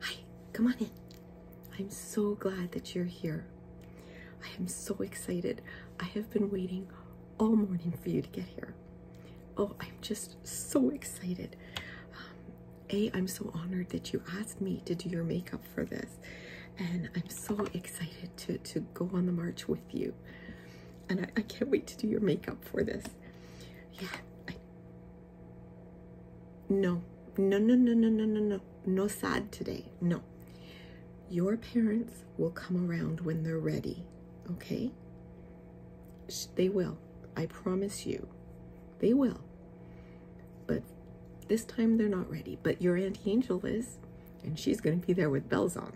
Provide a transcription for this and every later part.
Hi, come on in. I'm so glad that you're here. I am so excited. I have been waiting all morning for you to get here. Oh, I'm just so excited. Um, A, I'm so honored that you asked me to do your makeup for this. And I'm so excited to, to go on the march with you. And I, can't wait to do your makeup for this. Yeah, no, no, no, no, no, no, no, no. No sad today. No. Your parents will come around when they're ready, okay? They will. I promise you. They will. But this time they're not ready. But your Auntie Angel is, and she's going to be there with bells on.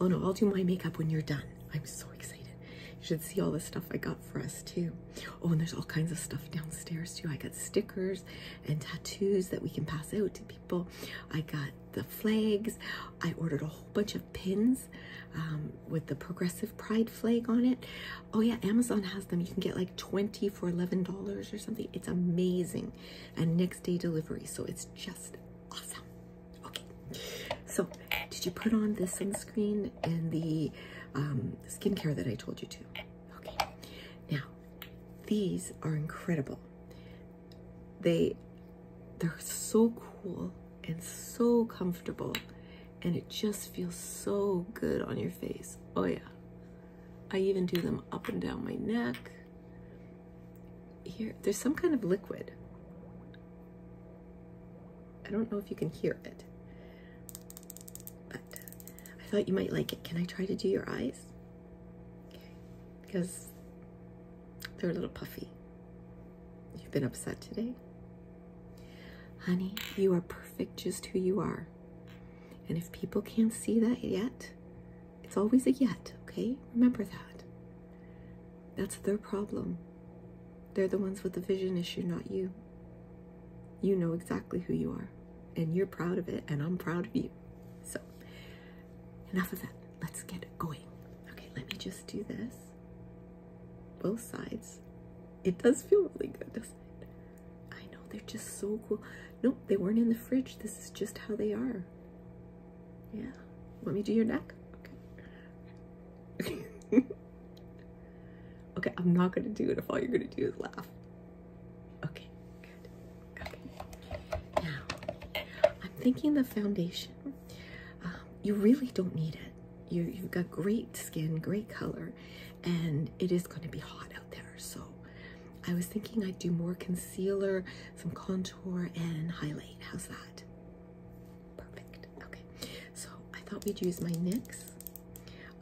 Oh no, I'll do my makeup when you're done. I'm so excited. You should see all the stuff I got for us too. Oh, and there's all kinds of stuff downstairs too. I got stickers and tattoos that we can pass out to people. I got the flags. I ordered a whole bunch of pins um, with the Progressive Pride flag on it. Oh yeah, Amazon has them. You can get like 20 for $11 or something. It's amazing. And next day delivery. So it's just awesome. Okay, so did you put on the sunscreen and the um, skincare that I told you to? Okay, now these are incredible. They they're so cool and so comfortable, and it just feels so good on your face. Oh yeah. I even do them up and down my neck. Here, there's some kind of liquid. I don't know if you can hear it, but I thought you might like it. Can I try to do your eyes? Okay. Because they're a little puffy. You've been upset today? Honey, you are perfect just who you are. And if people can't see that yet, it's always a yet, okay? Remember that. That's their problem. They're the ones with the vision issue, not you. You know exactly who you are, and you're proud of it, and I'm proud of you. So, enough of that. Let's get going. Okay, let me just do this. Both sides. It does feel really good, doesn't it? I know, they're just so cool. Nope, they weren't in the fridge. This is just how they are. Yeah. Let me do your neck. Okay. okay, I'm not gonna do it if all you're gonna do is laugh. Okay, Now, I'm thinking the foundation. Um, you really don't need it. you've got great skin, great color, and it is gonna be hot out there, so. I was thinking I'd do more concealer, some contour, and highlight. How's that? Perfect. Okay, so I thought we'd use my NYX.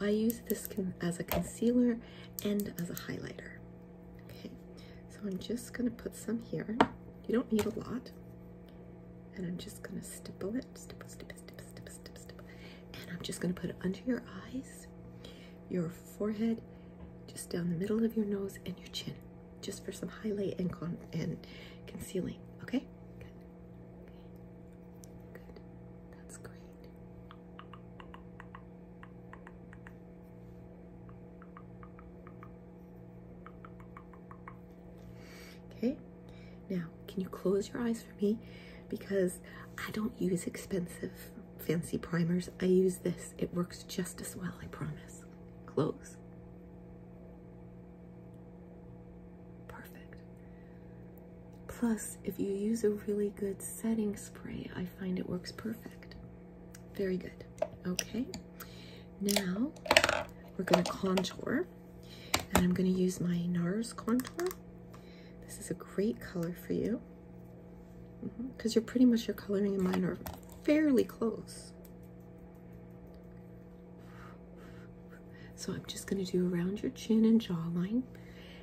I use this as a concealer and as a highlighter. Okay, so I'm just gonna put some here. You don't need a lot. And I'm just gonna stipple it, stipple, stipple, stipple, stipple, stipple, stipple. And I'm just gonna put it under your eyes, your forehead, just down the middle of your nose and your chin just for some highlight and con and concealing. Okay? Good. Good. That's great. Okay, now can you close your eyes for me? Because I don't use expensive fancy primers. I use this. It works just as well, I promise. Close. Perfect. Plus, if you use a really good setting spray, I find it works perfect. Very good. Okay. Now, we're going to contour. And I'm going to use my NARS contour. This is a great color for you. Because mm-hmm. mm you're pretty much, your coloring and mine are fairly close. So I'm just going to do around your chin and jawline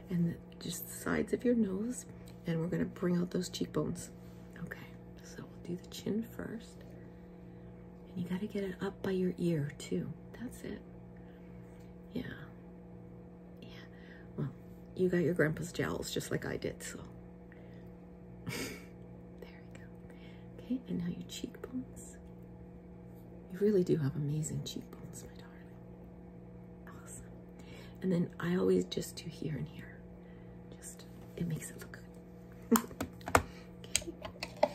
and just the sides of your nose and we're going to bring out those cheekbones. Okay, so we'll do the chin first. And you got to get it up by your ear too. That's it. Yeah. Yeah. Well, you got your grandpa's jowls just like I did, so there we go. Okay, and now your cheekbones. You really do have amazing cheekbones, my darling. Awesome. And then I always just do here and here. Just, it makes it look good.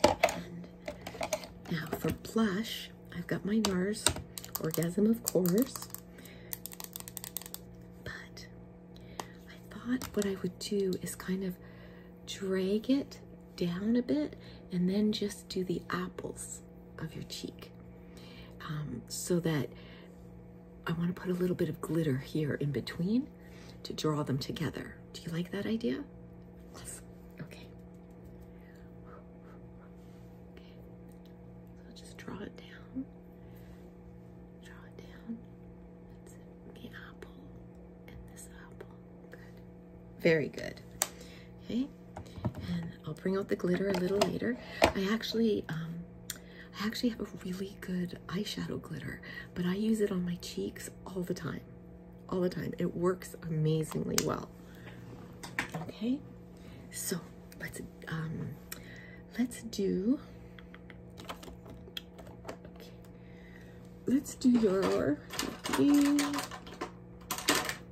okay. now for blush, I've got my NARS Orgasm, of course. But I thought what I would do is kind of drag it down a bit and then just do the apples of your cheek um, so that I want to put a little bit of glitter here in between to draw them together. Do you like that idea? Yes. Okay. So just draw it down draw it down. It's the apple and this apple. Very good. Okay. And I'll bring out the glitter a little later. I actually, um, I actually have a really good eyeshadow glitter, but I use it on my cheeks all the time. All the time. It works amazingly well. Okay. So let's, um, let's do Let's do your,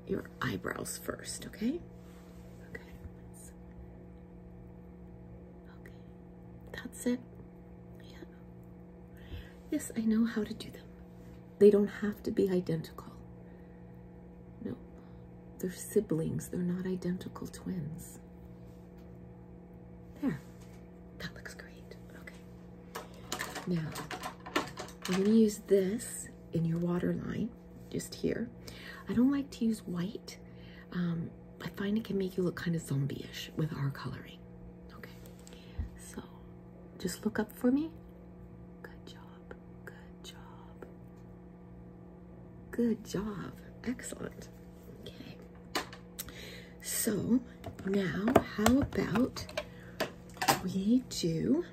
your eyebrows first, okay? Okay. That's, okay. That's it. Yeah. Yes, I know how to do them. They don't have to be identical. No. They're siblings. They're not identical twins. There. That looks great. Okay. Now, I'm going to use this in your waterline, just here. I don't like to use white. Um, I find it can make you look kind of zombie-ish with our coloring. Okay. So, just look up for me. Good job. Good job. Good job. Excellent. Okay. So now, how about we do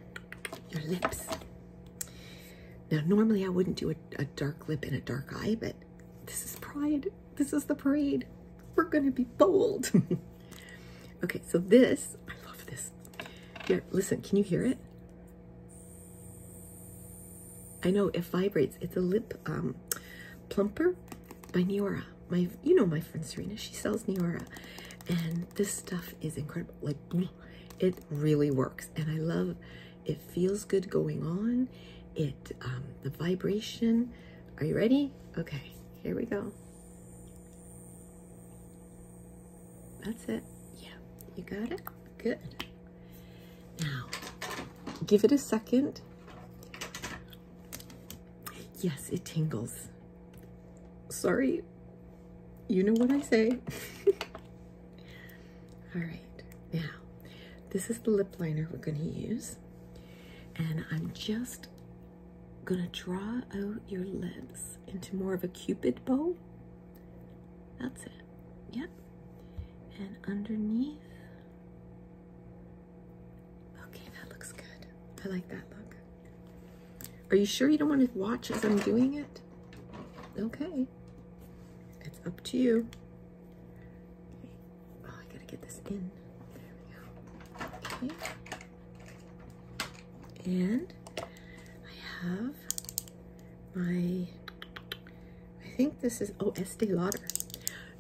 your lips? Now, normally I wouldn't do a, a dark lip and a dark eye, but this is pride. This is the parade. We're going to be bold. okay, so this, I love this. Here, listen, can you hear it? I know it vibrates. It's a lip um, plumper by Neora. My, you know my friend Serena. She sells Neora, and this stuff is incredible. Like, it really works, and I love. It feels good going on. It, um, the vibration. Are you ready? Okay, here we go. That's it. Yeah, you got it. Good. Now, give it a second. Yes, it tingles. Sorry, you know what I say. All right, now, this is the lip liner we're gonna use. And I'm just gonna draw out your lips into more of a cupid bow. That's it. Yep. And underneath. Okay, that looks good. I like that look. Are you sure you don't want to watch as I'm doing it? Okay. It's up to you. Oh, I gotta get this in. There we go. Okay. And I have my I think this is oh Estee Lauder.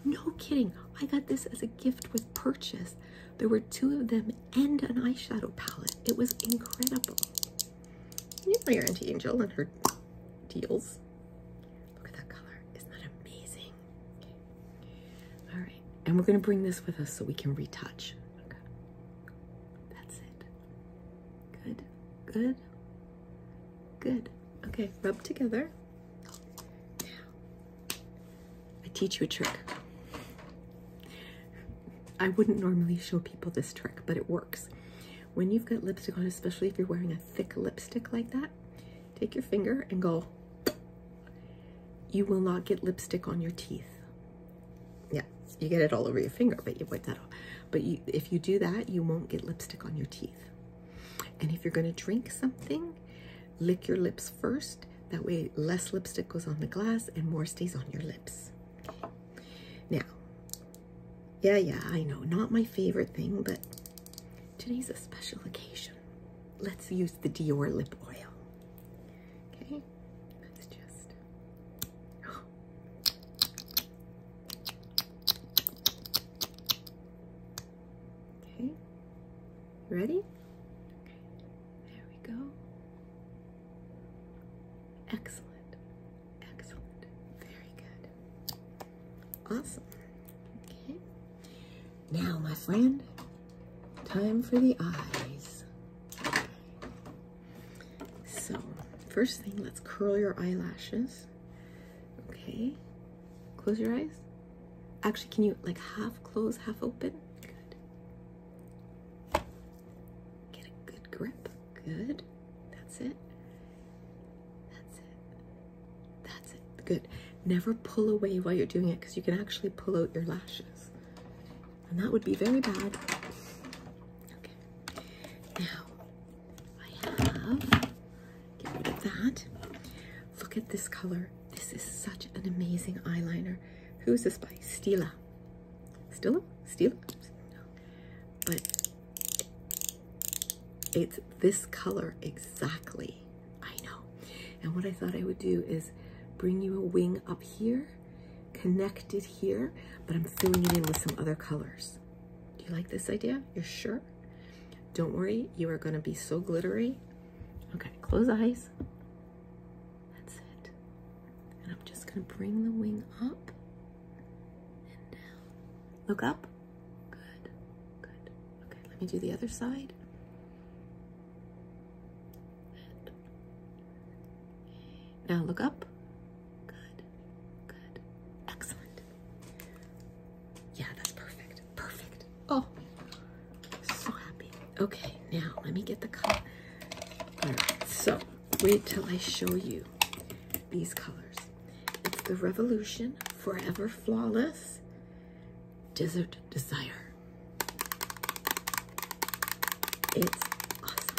No kidding, I got this as a gift with purchase. There were two of them and an eyeshadow palette. It was incredible. You know your Auntie Angel and her deals. Look at that color. Isn't that amazing? All right, and we're gonna bring this with us so we can retouch. Okay. That's it. Good, good, Good. Okay, rub together. I teach you a trick. I wouldn't normally show people this trick, but it works. When you've got lipstick on, especially if you're wearing a thick lipstick like that, take your finger and go. You will not get lipstick on your teeth. Yeah, you get it all over your finger, but you wipe that off. But if you do that, you won't get lipstick on your teeth. And if you're going to drink something, lick your lips first. That way, less lipstick goes on the glass and more stays on your lips. Now, yeah, yeah, I know, not my favorite thing, but today's a special occasion. Let's use the Dior lip oil. Okay, Okay, ready? there we go. Excellent, excellent, very good. Awesome. Okay, now, my friend, time for the eyes. So, first thing, let's curl your eyelashes. Okay, close your eyes. Actually, can you like half close, half open? Good. Get a good grip. Good. That's it. That's it. That's it. Good. Never pull away while you're doing it because you can actually pull out your lashes. And that would be very bad. Okay. Now, I have. Get rid of that. Look at this color. This is such an amazing eyeliner. Who's this by? Stila. Stila? Stila? No. But it's this color exactly. I know. And what I thought I would do is bring you a wing up here, connect it here, but I'm filling it in with some other colors. Do you like this idea? You're sure? Don't worry, you are going to be so glittery. Okay, close eyes. That's it. And I'm just going to bring the wing up and down. Look up. Good, good. Okay, let me do the other side. Now look up. Good. Good. Excellent. Yeah, that's perfect. Perfect. Oh, so happy. Okay, now let me get the color. so wait till I show you these colors. It's the Revolution Forever Flawless Desert Desire. It's awesome.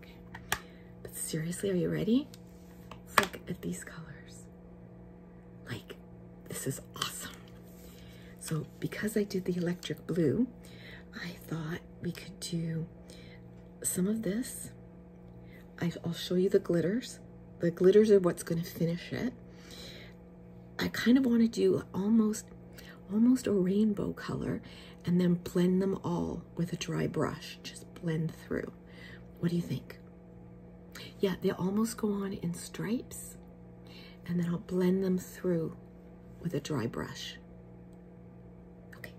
Okay. But seriously, are you ready? look at these colors. Like, this is awesome. So because I did the electric blue, I thought we could do some of this. I'll show you the glitters. The glitters are what's gonna finish it. I kind of wanna do almost, almost a rainbow color and then blend them all with a dry brush. Just blend through. What do you think? Yeah, they almost go on in stripes, and then I'll blend them through with a dry brush. Okay,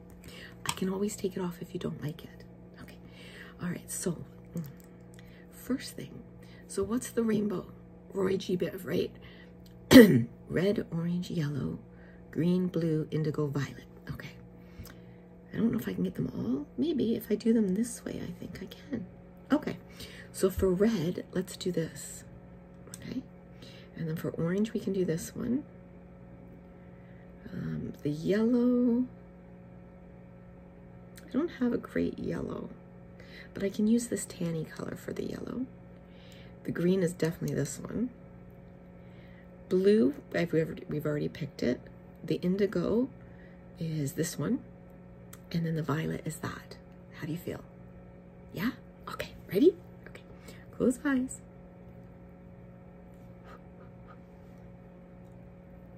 I can always take it off if you don't like it. Okay, all right, so mm. first thing, so what's the rainbow? Roy G. Biv, right? red, orange, yellow, green, blue, indigo, violet. Okay. I don't know if I can get them all. Maybe if I do them this way, I think I can. Okay. So for red, let's do this. Okay. And then for orange, we can do this one. Um, the yellow, I don't have a great yellow, but I can use this tanny color for the yellow. The green is definitely this one. Blue, we've already picked it. The indigo is this one. And then the violet is that. How do you feel? Yeah? Okay, ready? Okay, close eyes.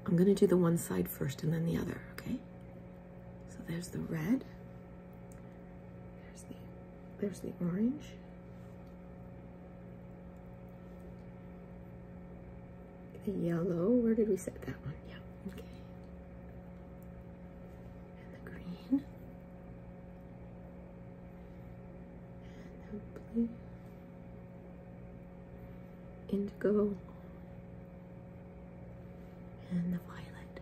I'm gonna do the one side first and then the other, okay? So there's the red, there's the orange. The yellow, where did we set that one? Yeah, okay. And the green. blue. Indigo. And the violet.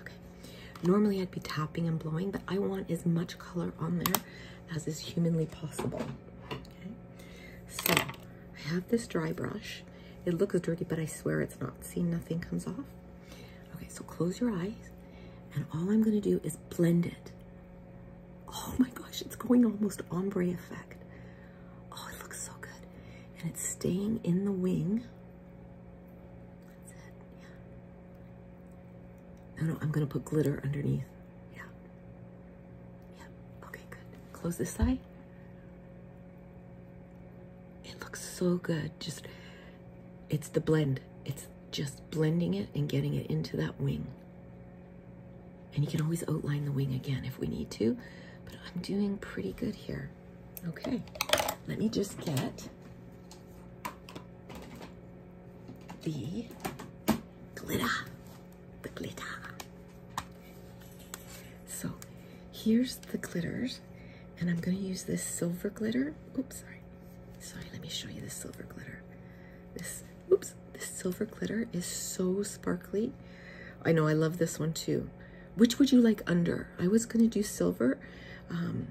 Okay. Normally I'd be tapping and blowing, but I want as much color on there as is humanly possible. Okay. So I have this dry brush. It looks dirty, but I swear it's not. See, nothing comes off. Okay, so close your eyes, and all I'm gonna do is blend it. Oh my gosh, it's going almost ombre effect. Oh, it looks so good. And it's staying in the wing. No, no, I'm gonna put glitter underneath. Yeah. Yeah, okay, good. Close this side. It looks so good. Just, it's the blend. It's just blending it and getting it into that wing. And you can always outline the wing again if we need to, but I'm doing pretty good here. Okay, let me just get the glitter, the glitter. So here's the glitters, and I'm gonna use this silver glitter. Oops, sorry. Sorry, let me show you this silver glitter. This, oops, this silver glitter is so sparkly I know I love this one too. Which would you like under? I was going to do silver, um,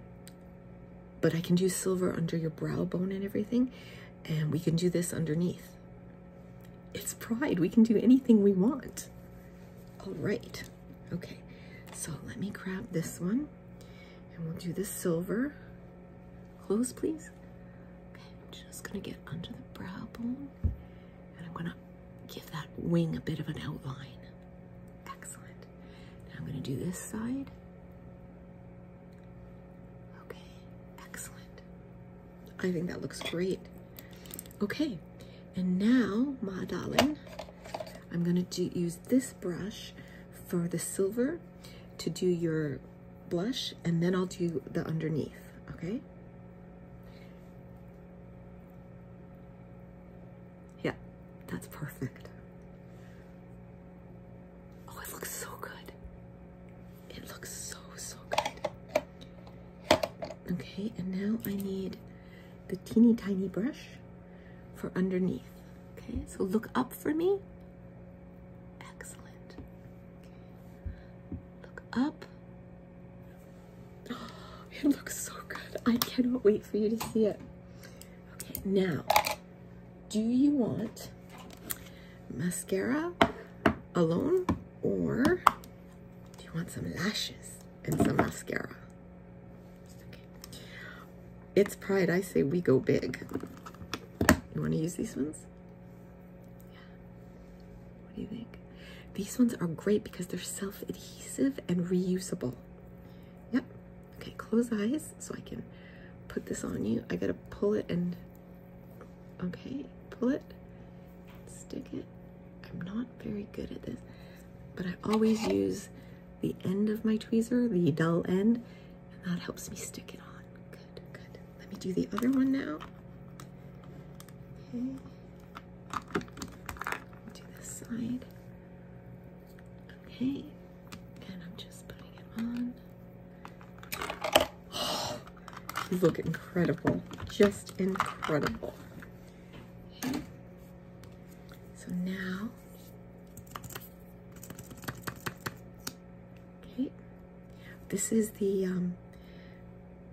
but I can do silver under your brow bone and everything. And we can do this underneath. It's pride. We can do anything we want. All right. Okay. So let me grab this one and we'll do the silver. Close, please. I'm just going to get under the brow bone. And I'm gonna give that wing a bit of an outline. Excellent. I'm gonna do this side. Okay, excellent. I think that looks great. Okay, and now, my darling, I'm gonna use this brush for the silver to do your blush and then I'll do the underneath, okay? Yeah, that's perfect. Oh, it looks so good. It looks so, so good. Okay, and now I need the teeny tiny brush for underneath. Okay, so look up for me. Excellent. Okay up. it looks so good. I cannot wait for you to see it. Okay, now, do you want mascara alone or do you want some lashes and some mascara? Okay. It's pride. I say we go big. You want to use these ones? What do you think? These ones are great because they're self-adhesive and reusable. Yep. Okay, close eyes so I can put this on you. I gotta pull it and okay, pull it, stick it. I'm not very good at this, but I always use the end of my tweezer, the dull end, and that helps me stick it on. Let me do the other one now. Do this side. Okay. And I'm just putting it on. you look incredible. Just incredible. Okay. So now Okay, this is the um,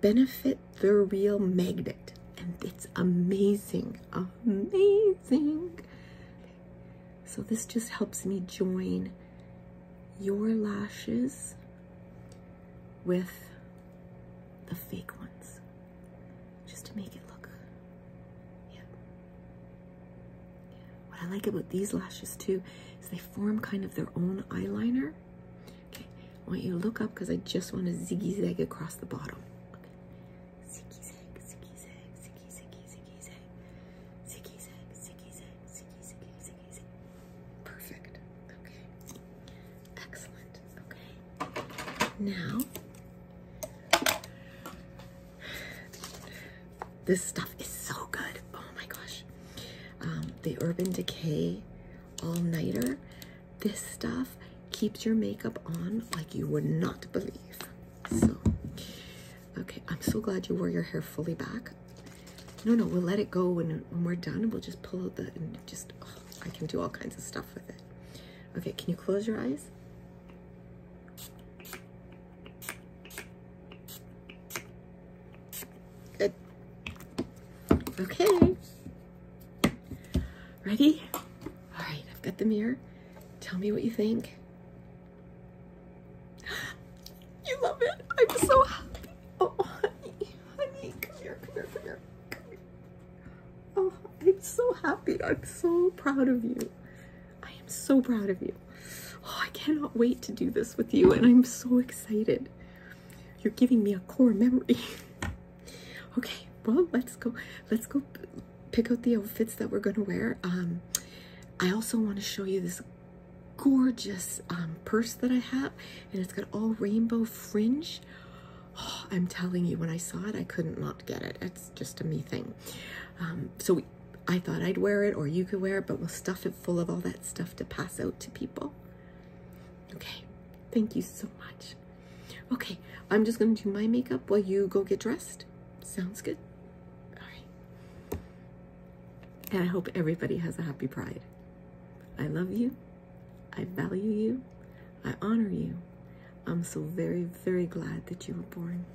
Benefit the Real Magnet, and it's amazing, amazing. So this just helps me join your lashes with the fake ones just to make it look what I like about these lashes too is they form kind of their own eyeliner. Okay, I want you to look up because I just want to zigzag across the bottom. Perfect. Okay. Excellent. Okay. Now this stuff is so good. Oh my gosh. Um, the Urban Decay All Nighter. This stuff keeps your makeup on like you would not believe. So, okay, I'm so glad you wore your hair fully back. No, no, we'll let it go when, we're done. We'll just pull out the, just, oh, I can do all kinds of stuff with it. Okay, can you close your eyes? Good. Okay. Ready? All right, I've got the mirror. Tell me what you think. You love it. I'm so happy. Oh, honey, honey, come here, come here, come here. Come here. Oh, I'm so happy. I'm so proud of you. I am so proud of you. Oh, I cannot wait to do this with you, and I'm so excited. You're giving me a core memory. okay, well, let's go. Let's go pick out the outfits that we're gonna wear. Um, I also want to show you this gorgeous um, purse that I have, and it's got all rainbow fringe. Oh, I'm telling you, when I saw it, I couldn't not get it. It's just a me thing. Um, so we I thought I'd wear it or you could wear it, but we'll stuff it full of all that stuff to pass out to people. Okay, thank you so much. Okay, I'm just gonna do my makeup while you go get dressed. Sounds good? All right. And I hope everybody has a happy pride. I love you. I value you. I honor you. I'm so very, very glad that you were born.